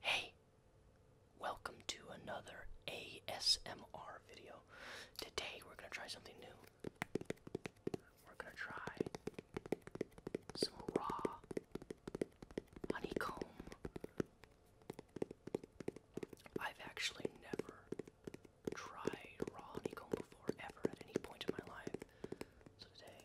Hey, welcome to another ASMR video. Today we're gonna try something new. We're gonna try some raw honeycomb. I've actually never tried raw honeycomb before, ever, at any point in my life. So today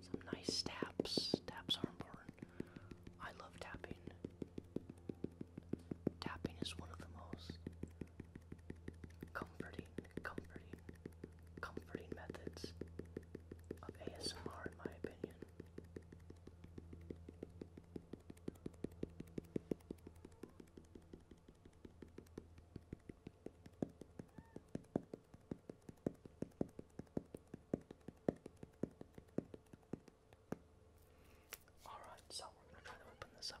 Some nice taps. Taps are important. I love tapping. Tapping is one of the most comforting, comforting, comforting methods of ASMR, in my opinion. Alright, so we're gonna try to open this up.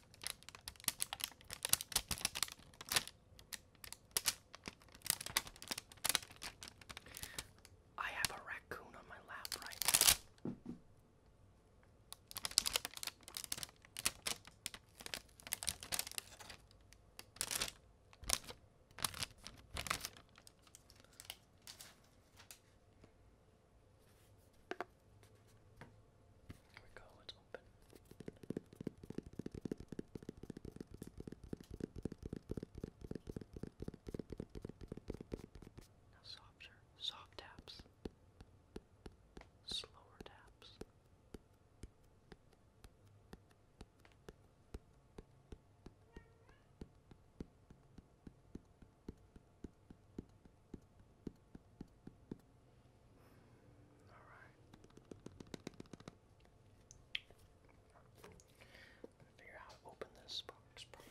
I have a raccoon on my lap right now. Here we go, it's open. Now softer, soft taps, slower taps. All figure out how to open this box properly.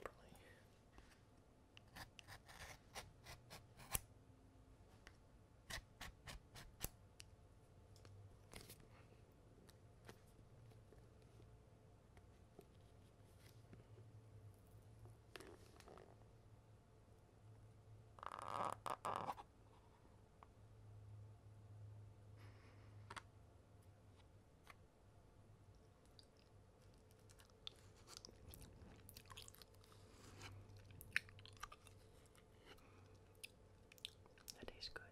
That tastes good.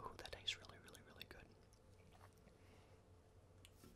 Oh, that tastes really, really, really good.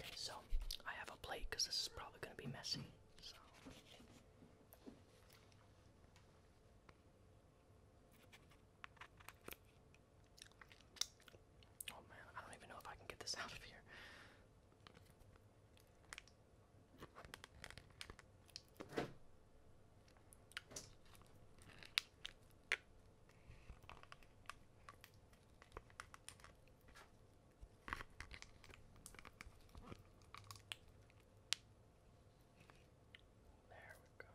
Okay, so I have a plate because this is probably going to be messy. Oh man, I don't even know if I can get this out of here. There we go.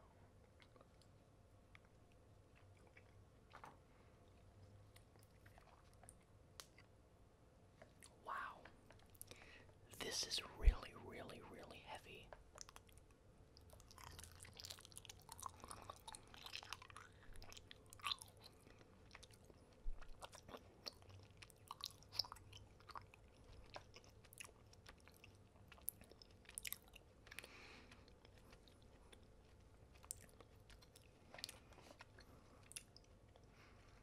Wow. This is really, really, really heavy.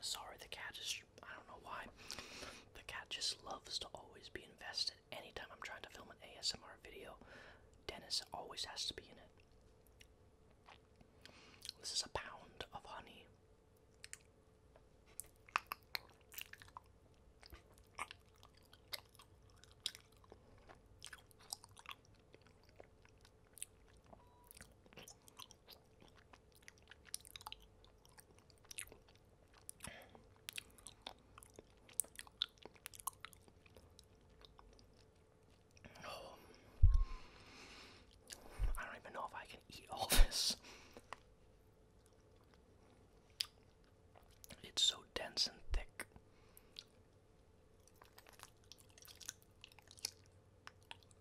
Sorry, the cat just I don't know why. The cat just loves to always be invested. Anytime I'm trying to film an ASMR video, Dennis always has to be in it. This is a pound of honey. I don't even know if I can eat all this. It's so dense and thick.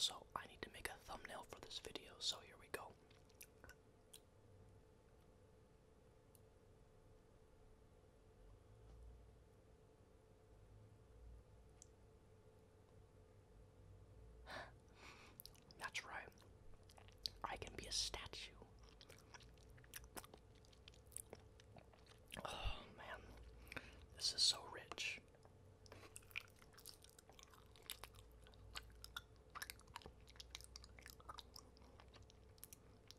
So, I need to make a thumbnail for this video, so here we go. That's right. I can be a statue. Oh man, this is so rich.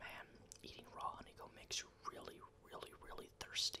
Man, eating raw honeycomb makes you really, really, really thirsty.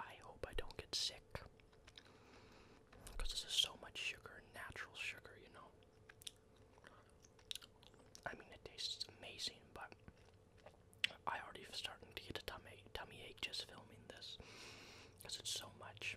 I hope I don't get sick because this is so much sugar, natural sugar, you know. I mean, it tastes amazing, but I am already starting to get a tummy tummy ache just filming this because it's so much.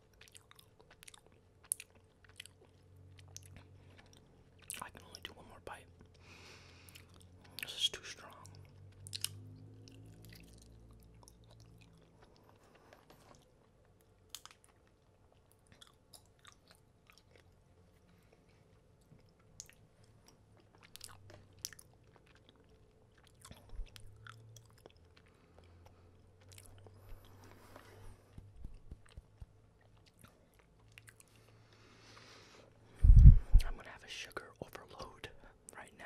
I can only do one more bite. This is too strong. I'm going to have a sugar overload right now.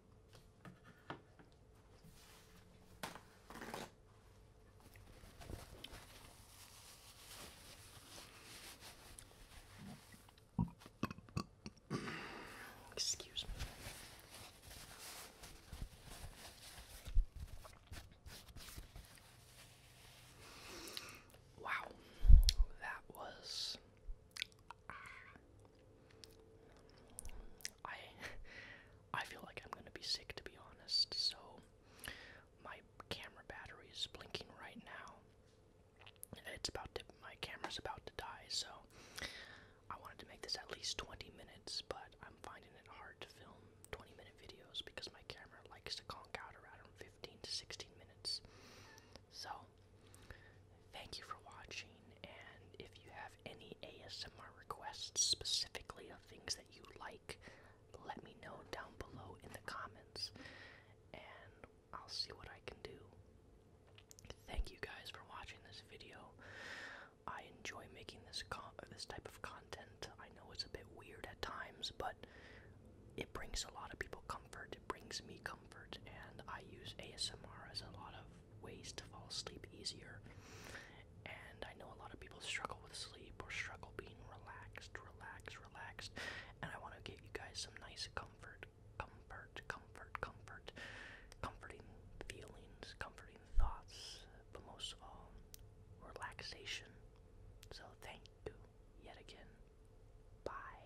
Excuse me. Wow, that was I I feel like I'm gonna be sick to be honest, so my camera battery is blinking right now. It's about to my camera's about to die, so I wanted to make this at least 20 minutes, but I'm finding it hard to film 20 minute videos because my camera likes to conk out around 15 to 16 minutes. So, thank you for watching, and if you have any ASMR requests, specifically of things that you like, let me know down below in the comments, and I'll see what I can do. Thank you guys for watching this video. I enjoy making this con uh, this type of content. I know it's a bit weird at times, but it brings a lot of people comfort. It brings me comfort comfort, and I use ASMR as a lot of ways to fall asleep easier. And I know a lot of people struggle with sleep or struggle being relaxed, relaxed, relaxed. And I want to give you guys some nice comfort, comfort, comfort, comfort, comforting feelings, comforting thoughts, but most of all, relaxation. So thank you yet again. Bye.